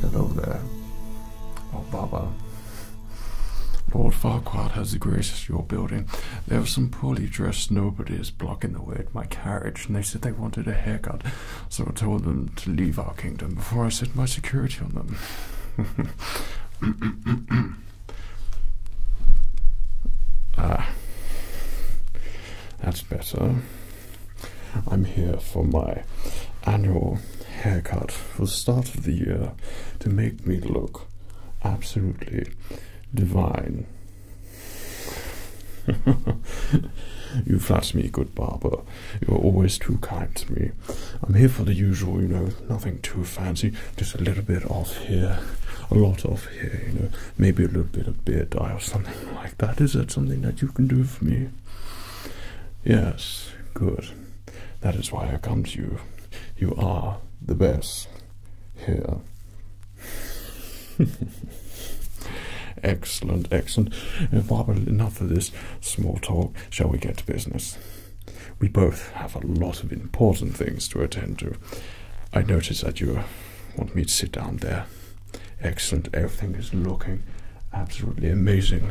Hello there, oh Baba. Lord Farquhar has the graced your building. There were some poorly dressed nobodies blocking the way at my carriage, and they said they wanted a haircut, so I told them to leave our kingdom before I set my security on them. ah. That's better. I'm here for my annual haircut for the start of the year to make me look absolutely divine. you flatter me, good barber. You're always too kind to me. I'm here for the usual, you know, nothing too fancy, just a little bit off here, a lot off here, you know, maybe a little bit of beer dye or something like that. Is that something that you can do for me? Yes, good. That is why I come to you. You are the best here. excellent, excellent. And uh, Barbara, enough of this small talk. Shall we get to business? We both have a lot of important things to attend to. I notice that you are want me to sit down there. Excellent. Everything is looking absolutely amazing,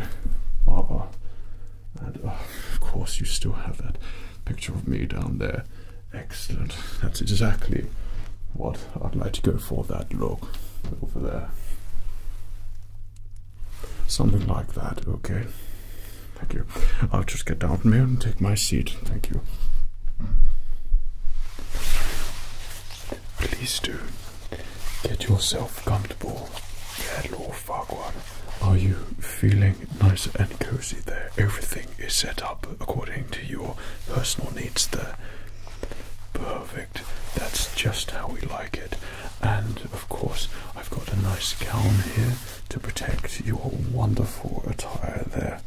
Barbara. And oh, of course, you still have that picture of me down there. Excellent. That's exactly what I'd like to go for. That look over there. Something like that. Okay. Thank you. I'll just get down from here and take my seat. Thank you. Please do get yourself comfortable there, Lord Farquhar. Are you feeling nice and cozy there? Everything is set up according to your personal needs there. Perfect. That's just how we like it. And of course, I've got a nice gown here to protect your wonderful attire there.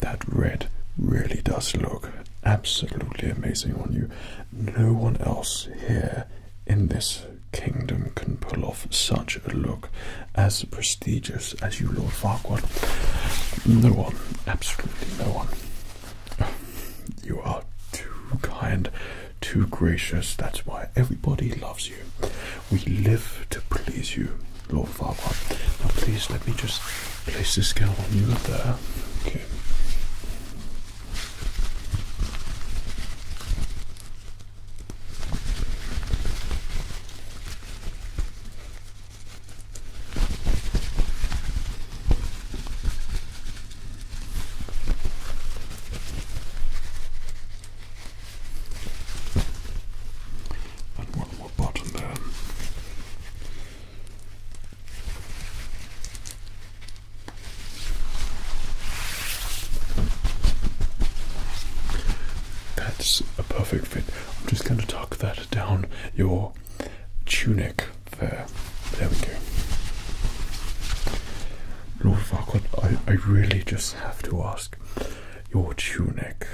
That red really does look absolutely amazing on you. No one else here in this kingdom can pull off such a look as prestigious as you, Lord Farquhar. No one, absolutely no one. You are too kind, too gracious. That's why everybody loves you. We live to please you. Lord Farquhar. Now, please let me just place this gown on you there. Okay. And one that's a perfect fit. I'm just going to tuck that down your tunic there. There we go. Lord Farquaad, I really just have to ask your tunic.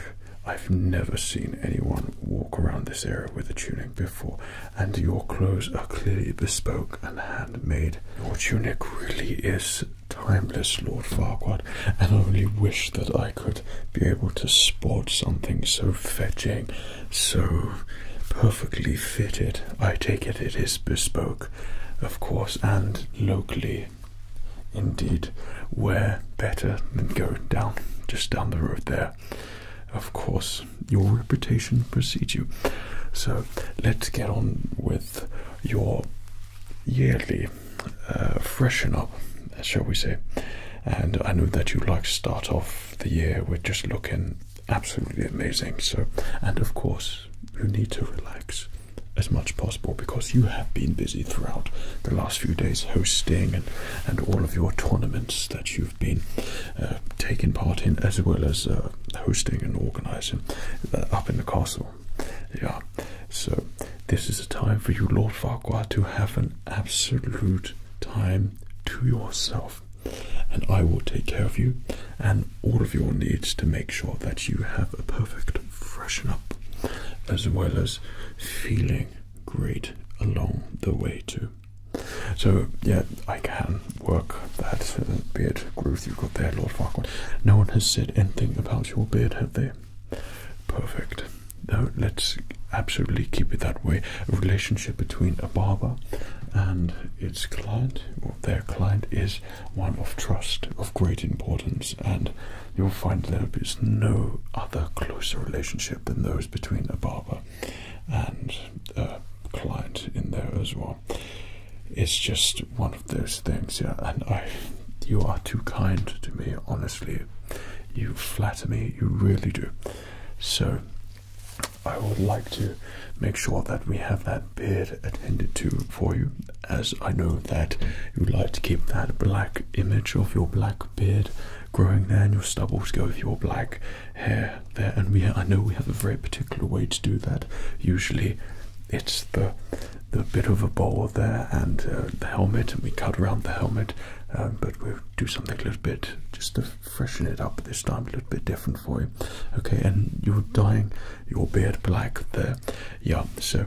I've never seen anyone walk around this area with a tunic before, and your clothes are clearly bespoke and handmade. Your tunic really is timeless, Lord Farquaad, and I only wish that I could be able to sport something so fetching, so perfectly fitted. I take it it is bespoke, of course, and locally. Indeed, where better than go down just down the road there? Of course, your reputation precedes you. So let's get on with your yearly uh, freshen up, shall we say. And I know that you like to start off the year with just looking absolutely amazing. So, and of course, you need to relax as much as possible because you have been busy throughout the last few days hosting and and all of your tournaments that you've been uh, taking part in, as well as uh, hosting and organising uh, up in the castle. Yeah, so this is a time for you, Lord Farquhar, to have an absolute time to yourself. And I will take care of you and all of your needs to make sure that you have a perfect freshen up, as well as feeling great along the way too. So yeah, I can work that beard growth you've got there, Lord Farquhar. No one has said anything about your beard, have they? Perfect. let's absolutely keep it that way. A relationship between a barber and its client, or their client, is one of trust of great importance, and you'll find there is no other closer relationship than those between a barber and a client in there as well. It's just one of those things, yeah. And I, you are too kind to me, honestly. You flatter me, you really do. So, I would like to make sure that we have that beard attended to for you, as I know that you would like to keep that black image of your black beard growing there and your stubbles go with your black hair there. And we, I know we have a very particular way to do that. Usually, it's the the bit of a bowl there and uh, the helmet, and we cut around the helmet. Um, but we do something a little bit just to freshen it up this time, a little bit different for you. Okay, and you're dyeing your beard black there. Yeah, so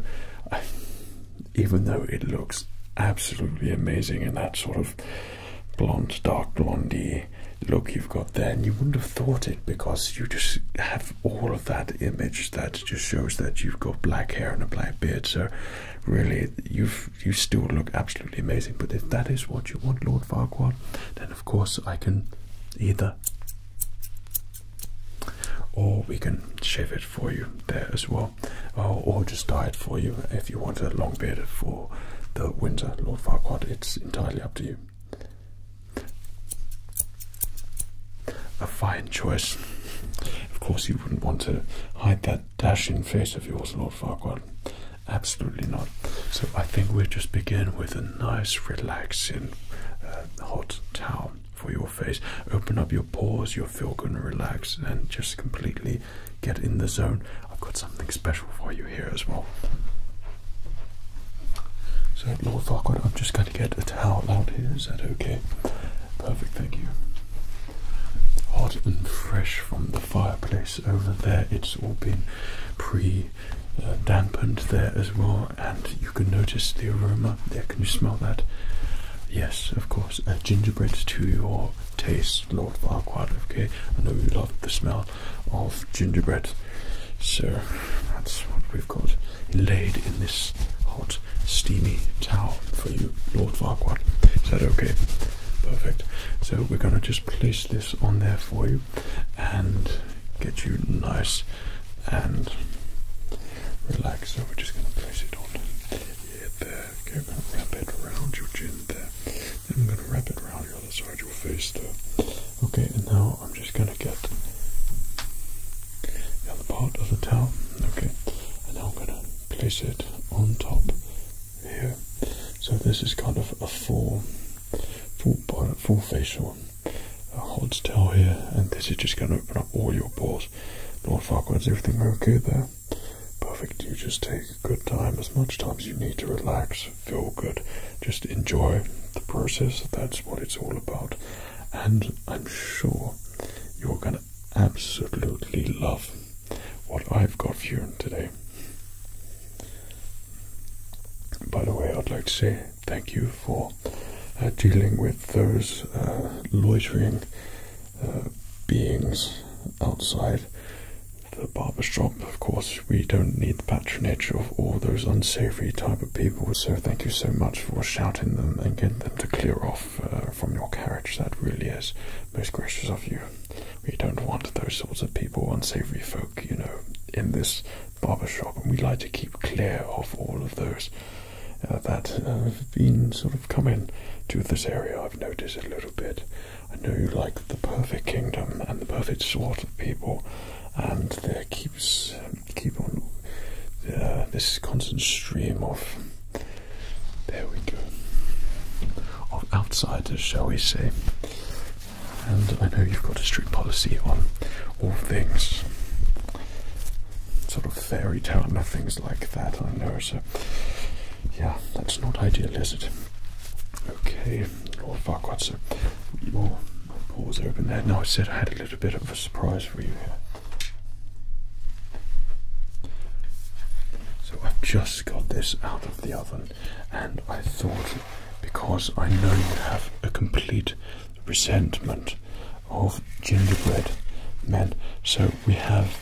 even though it looks absolutely amazing in that sort of blonde, dark blondie look you've got there. And you wouldn't have thought it because you just have all of that image that just shows that you've got black hair and a black beard. So really, you've you still look absolutely amazing. But if that is what you want, Lord Farquhar, then of course I can either or we can shave it for you there as well Oh, or, just dye it for you if you want a long beard for the winter, Lord Farquhar. It's entirely up to you. A fine choice. Of course, you wouldn't want to hide that dashing face of yours, Lord Farquhar. Absolutely not. So I think we'll just begin with a nice, relaxing, uh, hot towel for your face. Open up your pores. You'll feel good and relaxed, and just completely get in the zone. I've got something special for you here as well. So, Lord Farquaad, I'm just going to get a towel out here. Is that okay? Perfect, thank you. Hot and fresh from the fireplace over there. It's all been pre dampened there as well, and you can notice the aroma there. Can you smell that? Yes, of course. gingerbread to your taste. Lord Farquaad, okay, I know you love the smell of gingerbread, so that's what we've got laid in this hot, steamy towel for you, Lord Farquaad. Is that okay? Perfect. So we're going to just place this on there for you and get you nice and relaxed. So we're just going to place it on there. Okay, I'm going to wrap it around your chin there. Then I'm going to wrap it around your other side of your face there. Okay, and now I'm just going to get the other part of the towel. Okay, and now I'm going to place it on top here. So this is kind of a full, full, body, full facial a hot towel here, and this is just going to open up all your pores. Lord Farquaad's everything okay there? Perfect. You just take a good time, as much time as you need to relax, feel good, just enjoy the process. That's what it's all about. And I'm sure you're going to absolutely love what I've got for you today. By the way, I'd like to say thank you for uh, dealing with those uh, loitering beings outside the barber shop. Of course, we don't need the patronage of all those unsavory type of people, so thank you so much for shouting them and getting them to clear off uh, from your carriage. That really is most gracious of you. We don't want those sorts of people, unsavory folk, you know, in this barber shop, and we like to keep clear of all of those. Uh, that have been sort of coming to this area, I've noticed a little bit. I know you like the perfect kingdom and the perfect sort of people, and there keeps um, keep on uh, this constant stream of there we go of outsiders, shall we say? And I know you've got a strict policy on all things sort of fairy tale and things like that. I know so yeah, that's not ideal, is it? Okay, Lord Farquaad, so your pores open there. Now I said I had a little bit of a surprise for you here. So I've just got this out of the oven, and I thought because I know you have a complete resentment of gingerbread men, so we have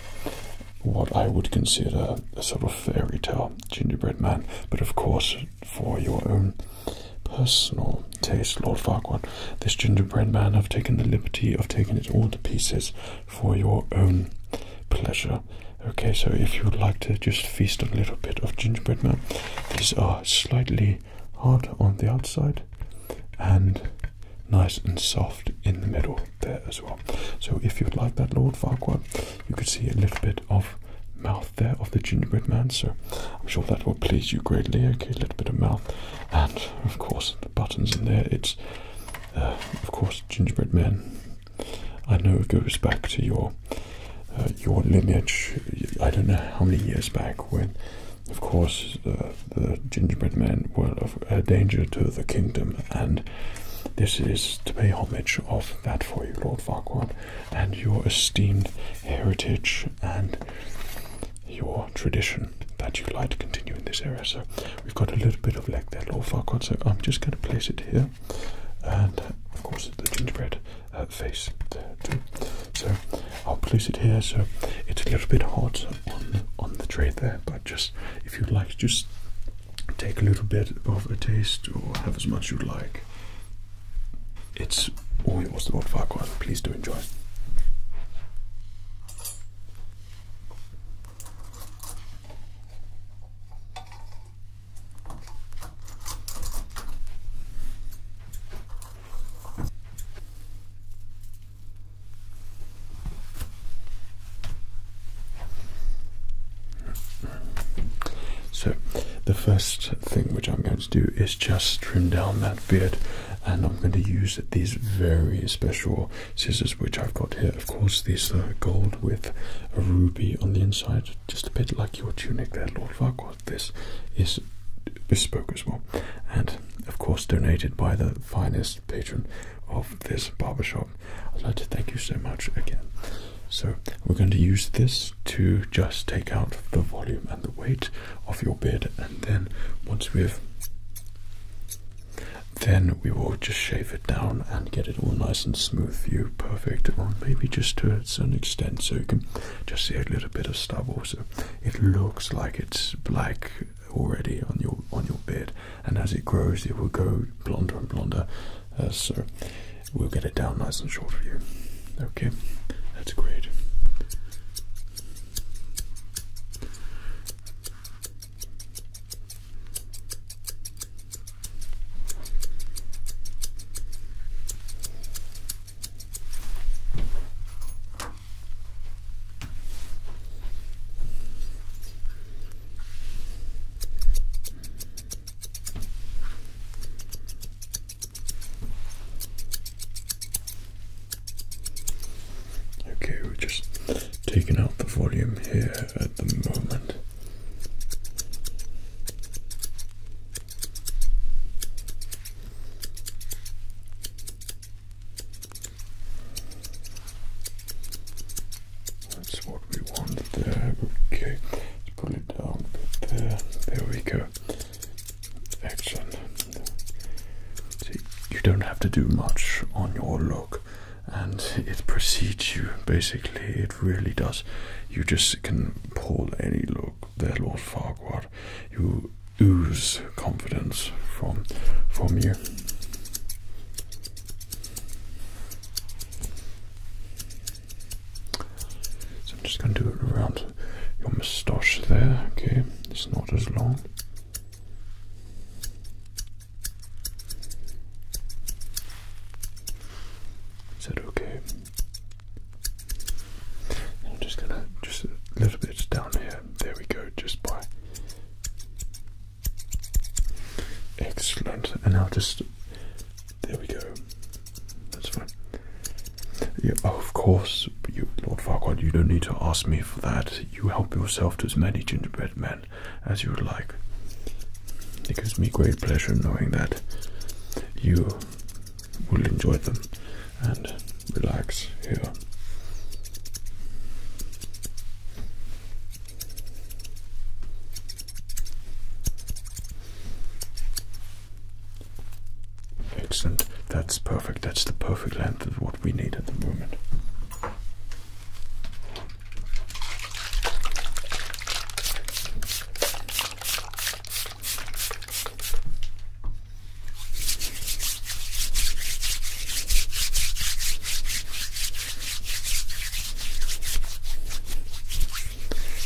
what I would consider a sort of fairy tale gingerbread man, but of course, for your own personal taste, Lord Farquhar, this gingerbread man, I've taken the liberty of taking it all to pieces for your own pleasure. Okay, so if you would like to just feast on a little bit of gingerbread man, these are slightly hard on the outside and nice and soft in the middle there as well. So if you'd like that, Lord Farquhar, you could see a little bit of mouth there of the gingerbread man. So I'm sure that will please you greatly. Okay, a little bit of mouth, and of course the buttons in there. It's uh, of course gingerbread man. I know it goes back to your uh, your lineage. I don't know how many years back when. Of course, uh, the gingerbread men were of a danger to the kingdom, and this is to pay homage of that for you, Lord Farquhar, and your esteemed heritage and your tradition that you would like to continue in this area. So we've got a little bit of leg there, Lord Farquhar, so I'm just going to place it here. And of course, the gingerbread uh, face there too. So I'll place it here. So it's a little bit hot on the tray there, but just if you'd like, just Take a little bit of a taste or have as much you'd like. It's all yours, the Old one. Please do enjoy. So, the first thing which I'm going to do is just trim down that beard, and I'm going to use these very special scissors which I've got here. Of course, these are gold with a ruby on the inside, just a bit like your tunic there, Lord Farquhar. This is bespoke as well, and of course, donated by the finest patron of this barber shop. I'd like to thank you so much again. So, we're going to use this to just take out the volume and the weight of your beard, and then once we've then we will just shave it down and get it all nice and smooth you, perfect, or maybe just to a certain extent so you can just see a little bit of stubble. So it looks like it's black already on your on your beard, and as it grows, it will go blonder and blonder. Uh, so we'll get it down nice and short for you. Okay, that's great. Okay, we're just taking out the volume here at the moment. That's what we want there. Okay, let's pull it down there. There we go. Action! you don't have to do much on your look, and it precedes you basically. It really does. You just can pull any look there, Lord Farquhar. You ooze confidence from from you. So I'm just going to do it around your moustache there, okay? It's not as long. Is that okay? I'm just gonna just a little bit down here. There we go. Just by Excellent. And I'll just there we go. That's fine. Oh, of course, Lord Farquaad, you don't need to ask me for that. You help yourself to as many gingerbread men as you would like. It gives me great pleasure knowing that you will enjoy them and relax here. Excellent. That's perfect. That's the perfect length of what we need at the moment.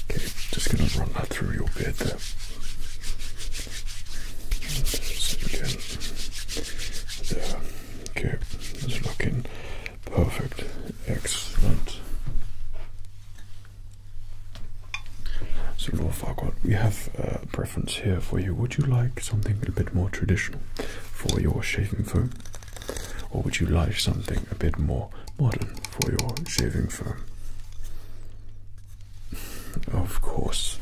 Okay, just going to run that through your beard there. again, there. Okay, it's looking perfect. Excellent. So, Lord Farquhar, we have a preference here for you. Would you like something a bit more traditional for your shaving foam? Or would you like something a bit more modern for your shaving foam? Of course.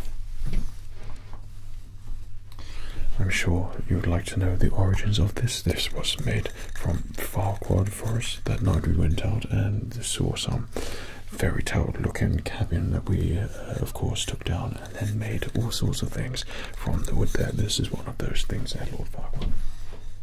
I'm sure you'd like to know the origins of this. This was made from Farquhar Forest. That night we went out and saw some fairy tale looking cabin that we, uh, of course, took down and then made all sorts of things from the wood there. This is one of those things at Lord Farquhar.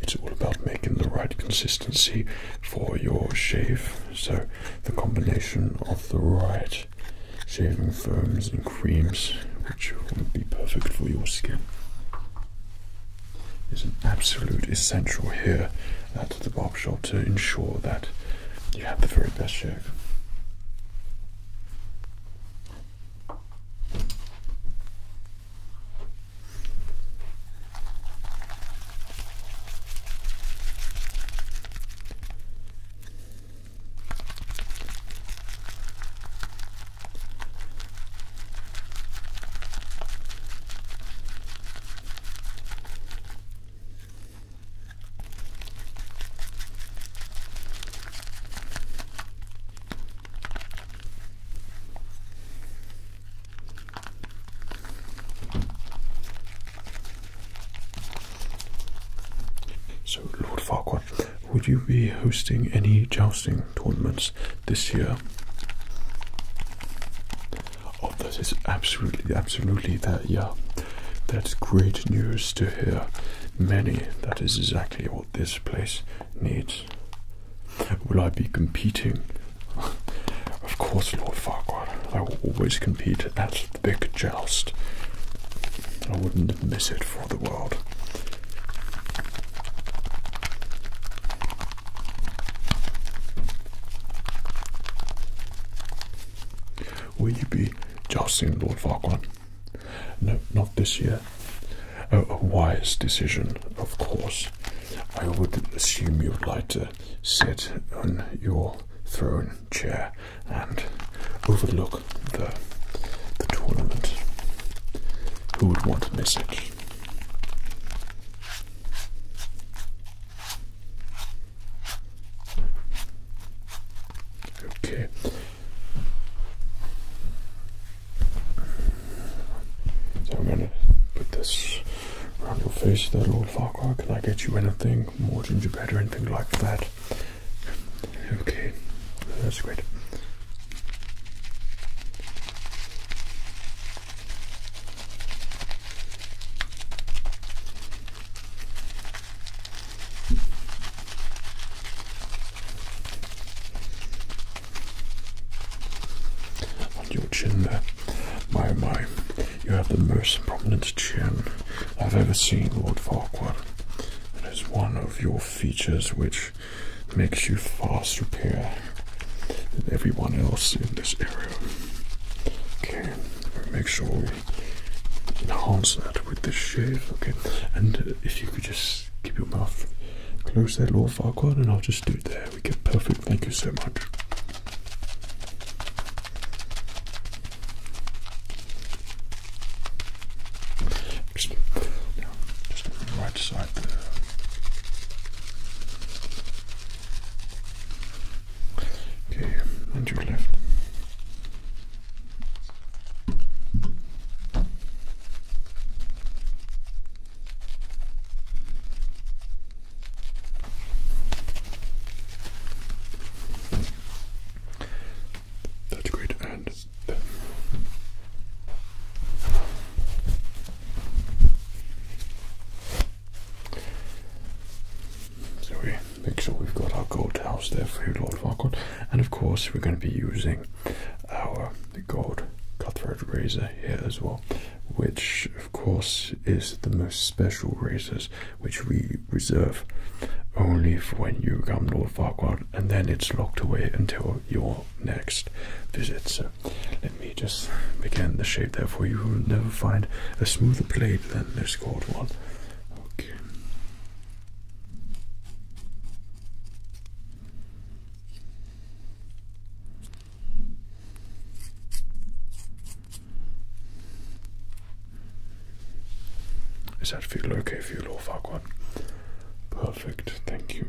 It's all about making the right consistency for your shave. So, the combination of the right shaving foams and creams, which will be perfect for your skin is an absolute essential here at the barbershop to ensure that you have the very best shave. So, Lord Farquhar, would you be hosting any jousting tournaments this year? Oh, that is absolutely, absolutely that. Yeah, that's great news to hear. Many. That is exactly what this place needs. Will I be competing? of course, Lord Farquhar. I will always compete at the big joust. I wouldn't miss it for the world. Will you be jousting Lord Farquhar? No, not this year. a wise decision, of course. I would assume you would like to sit on your throne chair and overlook the, the tournament. Who would want to miss it? Okay. So I'm gonna put this around your face, that old Farquhar. Can I get you anything more gingerbread or anything like that? Okay, that's great. On your chin there. My, my, you have the most prominent chin I've ever seen, Lord Farquhar. It is one of your features which makes you far superior and everyone else in this area. Okay, make sure we enhance that with the shave. Okay, and uh, if you could just keep your mouth closed there, Lord Farquhar, and I'll just do it there. We get perfect. Thank you so much. Just, yeah, just the right side there. Okay, and your left. That's great, and then. So we make sure we've got our gold house there for you, Lord Farquaad. And of course, we're going to be using our gold cutthroat razor here as well, which of course is the most special razors, which we reserve only for when you become Lord Farquaad, and then it's locked away until your next visit. So let me me just began the shape. Therefore, you will never find a smoother blade than this gold one. Is that feel okay for you, Lord Farquaad? Perfect, thank you.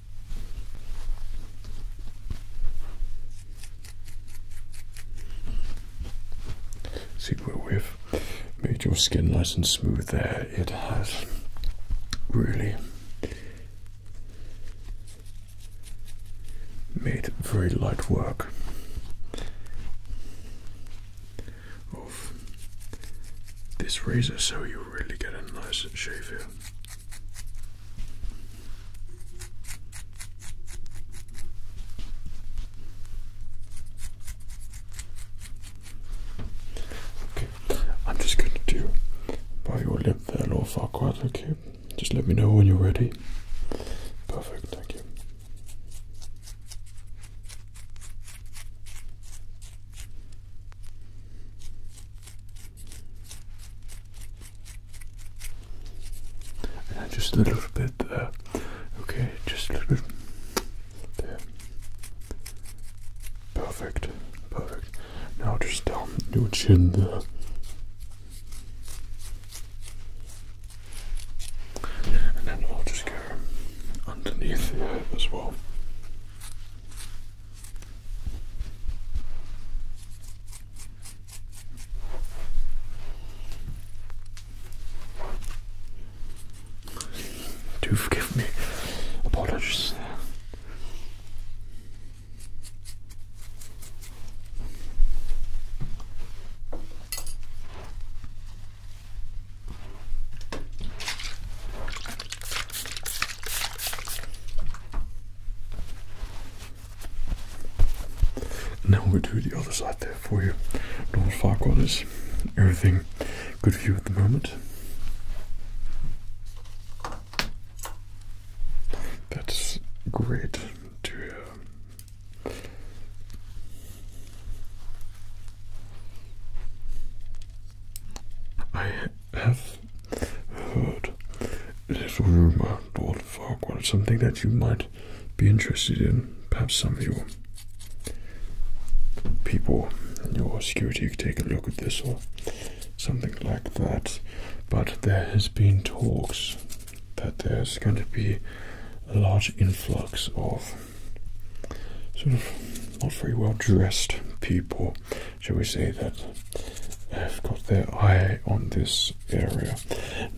See where we've made your skin nice and smooth there, it has really made very light work of this razor so you really get a nice shave here. Okay, I'm just going to do by your lip there, Lord Farquaad, okay? Just let me know when you're ready. Perfect, thank you just a little bit there. Uh, okay, just a little bit there. Perfect, perfect. Now just um, down your chin there. And then I'll just go underneath here as well. Do forgive me. Apologies. Now we'll do the other side there for you. Lord Farquhar. is everything good for you at the moment. That's great to um, I have heard a rumour, Lord Farquhar, something that you might be interested in. Perhaps some of your people in your security could take a look at this or something like that. But there has been talks that there's going to be a large influx of sort of not very well dressed people shall we say that have got their eye on this area.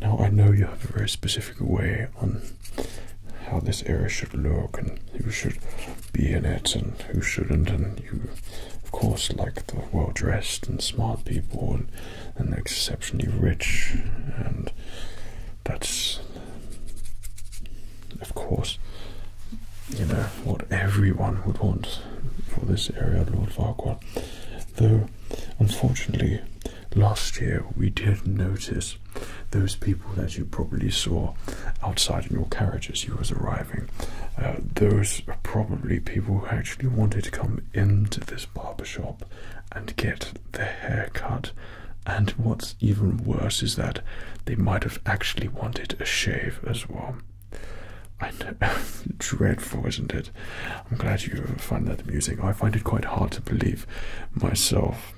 Now I know you have a very specific way on how this area should look and who should be in it and who shouldn't and you of course like the well dressed and smart people and, and exceptionally rich and that's of course, you know, what everyone would want for this area, Lord Farquhar. Though, unfortunately, last year we did notice those people that you probably saw outside in your carriage as you was arriving. Uh, those are probably people who actually wanted to come into this barber shop and get their hair cut. And what's even worse is that they might have actually wanted a shave as well. I know, dreadful, isn't it? I'm glad you find that amusing. I find it quite hard to believe myself.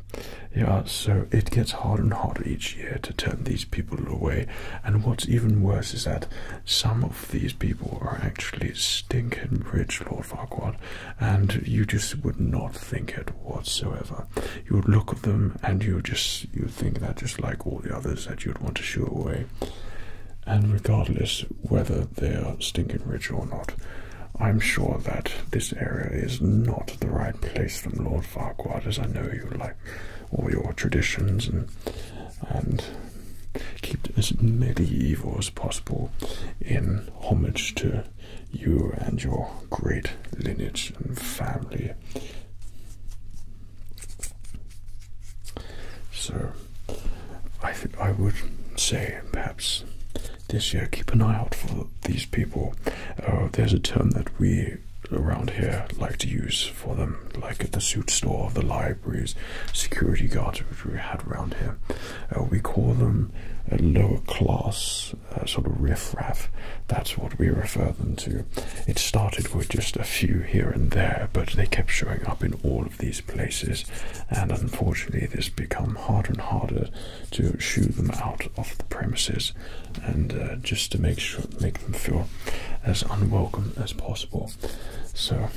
Yeah, so it gets harder and harder each year to turn these people away. And what's even worse is that some of these people are actually stinking rich, Lord Farquhar, and you just would not think it whatsoever. You would look them and you just you think that just like all the others that you'd want to shoo away. And regardless whether they're stinking rich or not, I'm sure that this area is not the right place for Lord Farquhar, as I know you like all your traditions and and keep it as medieval as possible in homage to you and your great lineage and family. So, I think I would say perhaps this year keep an eye out for these people. Uh, there's a term that we around here like to use for them, like at the suit store, the libraries, security guards, which we had around here. Uh, we call them a lower class uh, sort of riff raff. That's what we refer them to it started with just a few here and there, but they kept showing up in all of these places, and unfortunately, this become harder and harder to shoo them out of the premises, and uh, just to make sure make them feel as unwelcome as possible. So.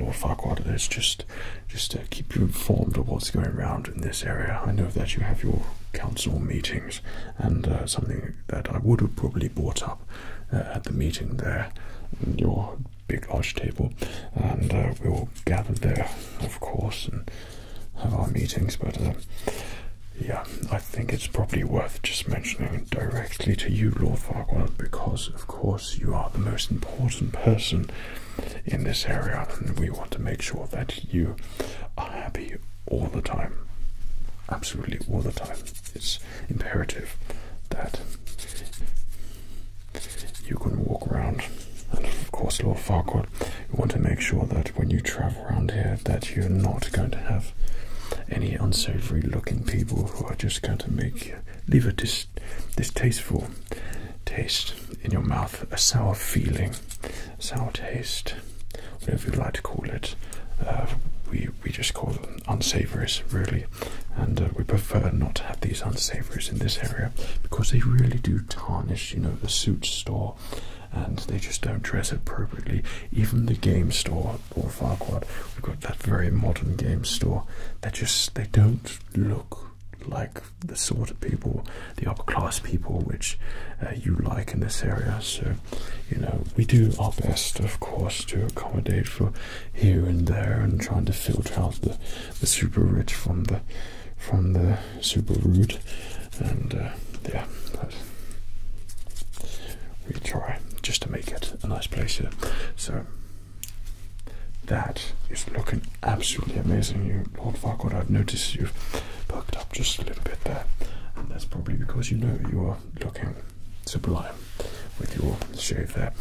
Lord Farquaad, let's just just uh, keep you informed of what's going around in this area. I know that you have your council meetings, and uh, something that I would have probably brought up uh, at the meeting there, your big large table, and uh, we all gather there, of course, and have our meetings. But uh, yeah, I think it's probably worth just mentioning directly to you, Lord Farquhar, because of course you are the most important person in this area, and we want to make sure that you are happy all the time. Absolutely all the time it's imperative that you can walk around. And of course, Lord Farquhar, you want to make sure that when you travel around here, that you're not going to have any unsavory-looking people who are just going to make you leave a dis distasteful taste in your mouth, a sour feeling, sour taste, whatever you would like to call it. Uh, we we just call it unsavories really, and uh, we prefer not to have these unsavories in this area because they really do tarnish, you know, the suit store, and they just don't dress appropriately. Even the game store or Farquad, we've got that very modern game store. They just they don't look like the sort of people, the upper class people, which uh, you like in this area. So you know, we do our best, of course, to accommodate for here and there and trying to filter out the, the super rich from the from the super rude. And uh, yeah, we try just to make it a nice place here. So that is looking absolutely amazing. You, Lord Farquhar, I've noticed you've perked up just a little bit there. And that's probably because you know you are looking sublime with your shave there.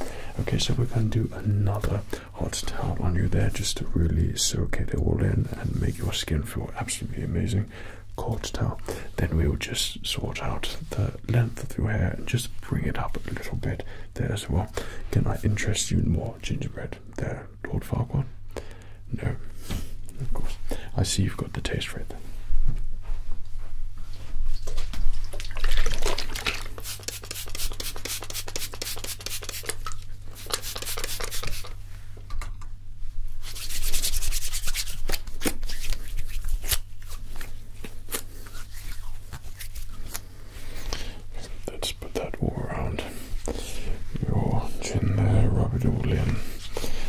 Okay, so we're going to do another hot towel on you there just to really soak it all in and make your skin feel absolutely amazing. Cold towel. Then we will just sort out the length of your hair and just bring it up a little bit there as well. Can I interest you in more gingerbread there, Lord Farquhar? No, of course. I see you've got got the taste right Let's put that all around your chin there, rub it all in.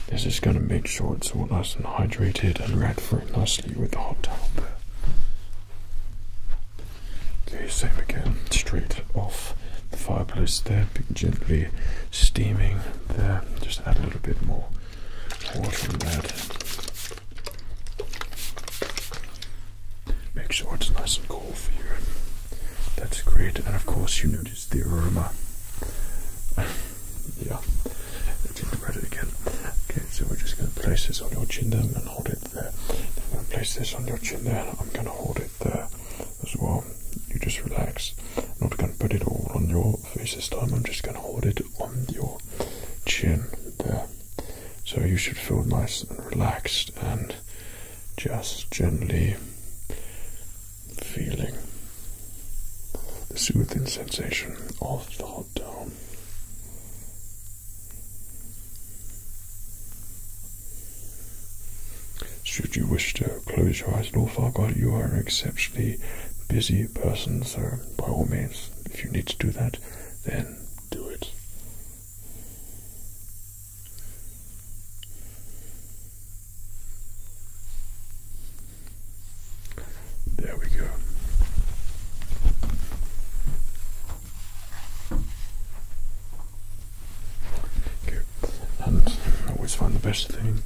This is going to make sure it's all nice and hydrated and ran through nicely with the hot towel there. Okay, same again, straight off the fireplace there, gently steaming there. Just add a little bit more water in that. Make sure it's nice and cool for you. That's great, and of course you notice the aroma. Yeah, I didn't it again. Okay, so we're just going to place this on your chin there and hold it there. I'm going to place this on your chin there and I'm going to hold it there as well. You just relax. I'm not going to put it all on your face this time, I'm just going to hold it on your chin there. So you should feel nice and relaxed and just gently feeling the soothing sensation of the hot towel. Should you wish to close your eyes Lord all, Farquhar, you are an exceptionally busy person, so by all means, if you need to do that, then do it. There we go. And I always find the best thing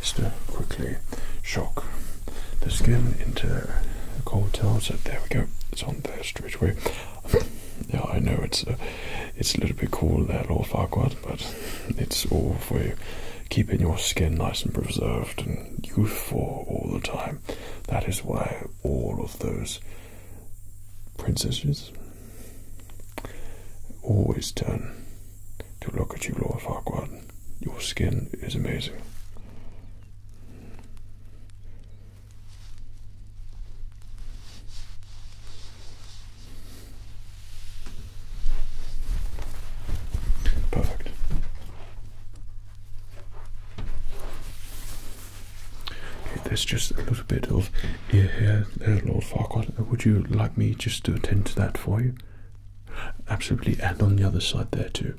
Just to quickly shock the skin into the cold towel. So there we go. It's on there straight away yeah, I know it's a, uh, it's a little bit cool there, Lord Farquaad, but it's all for keeping your skin nice and preserved and youthful all the time. That is why all of those princesses always turn to look at you, Lord Farquaad. Your skin is amazing. Perfect. there's just a little bit of ear here. There's Lord Farquhar. Would you like me just to attend to that for you? Absolutely, and on the other side there too.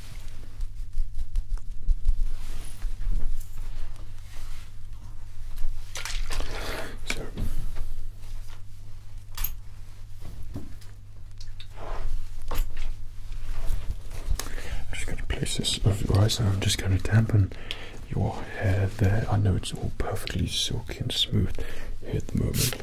So I'm just going to place this over eyes and I'm just going to dampen your hair there. I know it's all perfectly silky and smooth at the moment.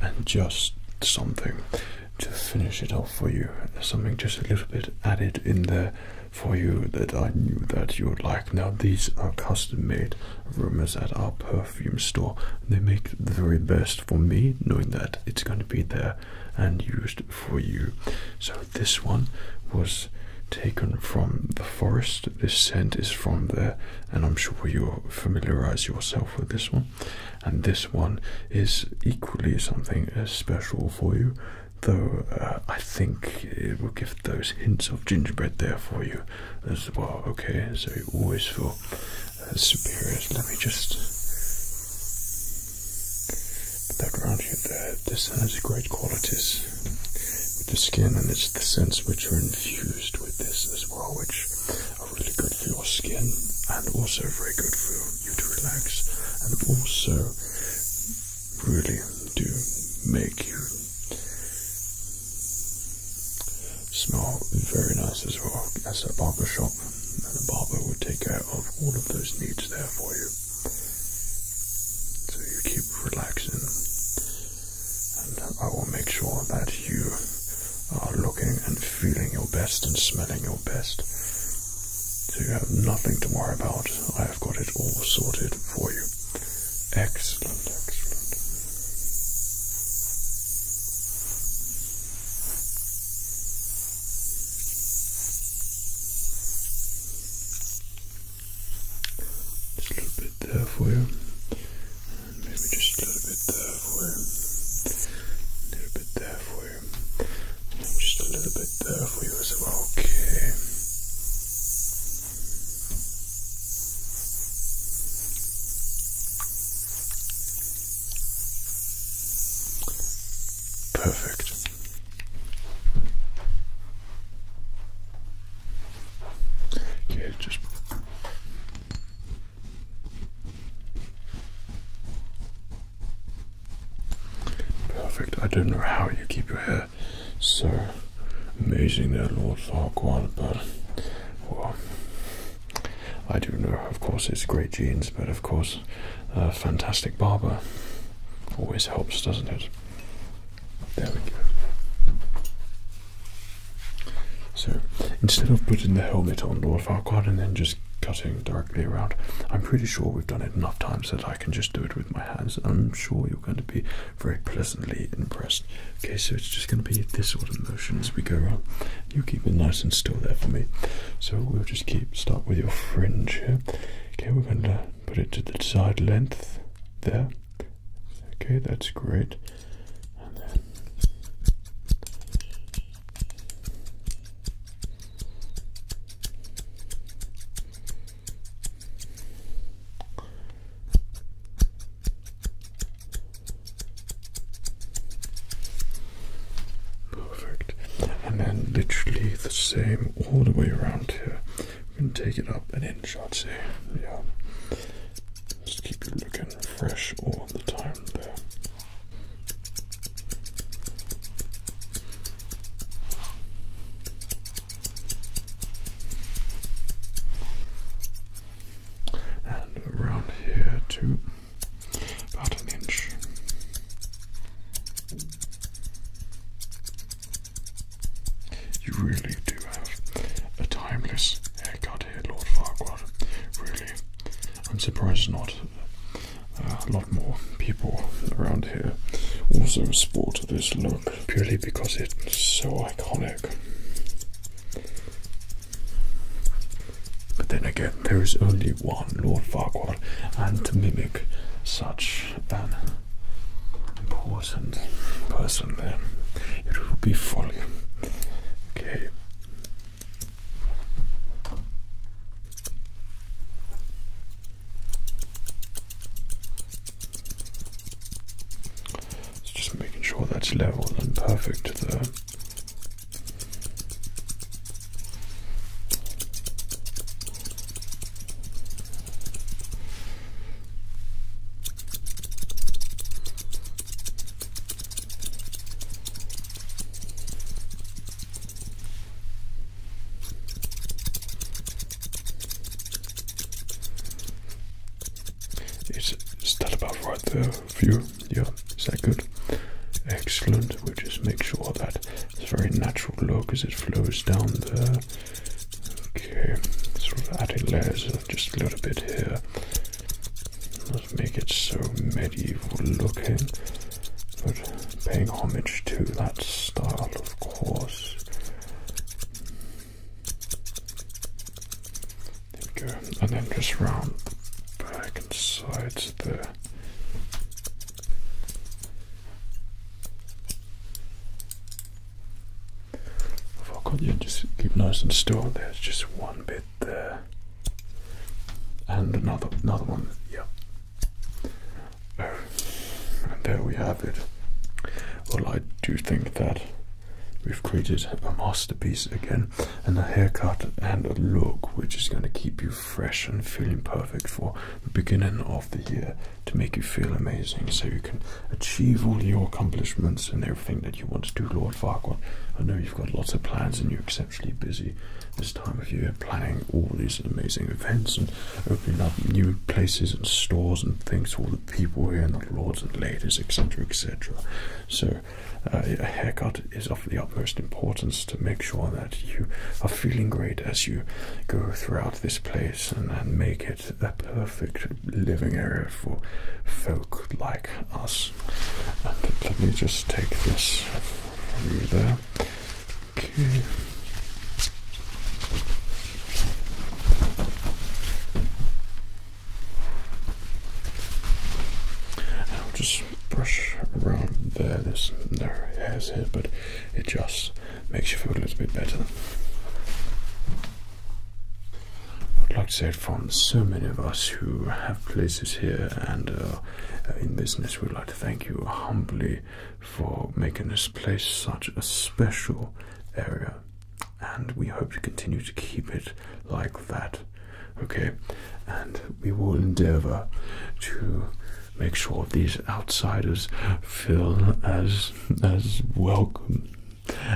And just something to finish it off for you, something just a little bit added in there for you that I knew that you would like. Now these are custom made rumors at our perfume store. They make the very best for me, knowing that it's going to be there and used for you. So this one was taken from the forest. This scent is from there, and I'm sure you will familiarize yourself with this one. And this one is equally something uh, special for you though uh, I think it will give those hints of gingerbread there for you as well. Okay, so you always feel uh, superior. Let me just. Put that around you there. This has great qualities with the skin, and it's the scents which are infused with this as well, which are really good for your skin and also very good for you to relax and also really do make you smell very nice as well. As a barber shop, and the barber will take care of all of those needs there for you. So you keep relaxing, and I will make sure that you are looking and feeling your best and smelling your best. So you have nothing to worry about. I have got it all sorted for you. Excellent, excellent. Just a little bit there for you. maybe just a little bit there for you. A little bit there for you. just a little bit there for you as well. Okay. Perfect. Okay, just perfect. I don't know how you keep your head. So Amazing that Lord Farquhar, but, well, I do know, of course, it's great jeans, but of course, a fantastic barber always helps, doesn't it? There we go. So, instead of putting the helmet on, Lord Farquhar, and then just cutting directly around, I'm pretty sure we've done it enough times that I can just do it with my hands. I'm sure you we are going to be very pleasantly impressed. Okay, so it's just going to be this sort of motion as we go on. You keep it nice and still there for me. So we'll just keep start with your fringe here. Okay, we're going to put it to the side length there. Okay, that's great. Perfect. And then literally the same all the way around here. We can take it up an inch, or would Yeah. Just keep it looking fresh all the time there and around here too, about an inch. You really do have a timeless haircut here, Lord Farquaad. Really, I'm surprised not uh, a lot more people around here also sport this look purely because it's so iconic. But then again, there is only one Lord Farquhar, and to mimic such an important person, then it would be folly. Okay just making sure that's level and perfect there. It's is that about right there View, Yeah, is that good? Excellent. We'll just make sure that it's very natural look as it flows down there. Okay, sort of adding layers just a little bit here. Let's make it so medieval looking, but paying homage to that style, of course. There we go. And then just round back inside the. there. If I got just keep nice and still. There's just one bit there. And another another one. Yep. Oh, and there we have it. Well, I do think that we've created a masterpiece again and a haircut and a look which is going to keep you fresh and feeling perfect for the beginning of the year to make you feel amazing so you can achieve all your accomplishments and everything that you want to do, Lord Farquhar. I know you've got lots of plans and you're exceptionally busy this time of year planning all these amazing events and opening up new places and stores and things all people here not lords and ladies, etc., etc. So, uh, a haircut is of the utmost importance to make sure that you are feeling great as you go throughout this place and, make it a perfect living area for folk like us. let me just take this from you there. Okay. I'll just brush around there. There's no hairs here, but it just makes you feel a little bit better. I'd like to say it from so many of us who have places here and uh, in business, we'd like to thank you humbly for making this place such a special area and we hope to continue to keep it like that. Okay, and we will endeavor to make sure these outsiders feel as as welcome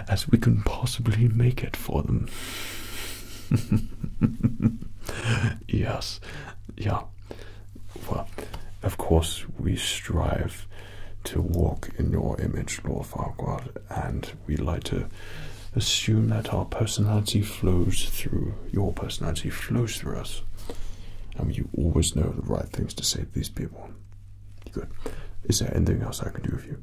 as we can possibly make it for them. yes, yeah. Well, of course, we strive to walk in your image, Lord Farquaad, and we like to assume that our personality flows through your personality flows through us. And you always know the right things to say to these people. Good. Is there anything else I can do for you?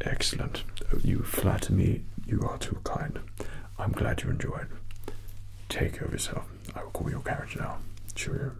Excellent. You flatter me. You are too kind. I'm glad you enjoyed. Take care of yourself. I will call your carriage now. Cheerio.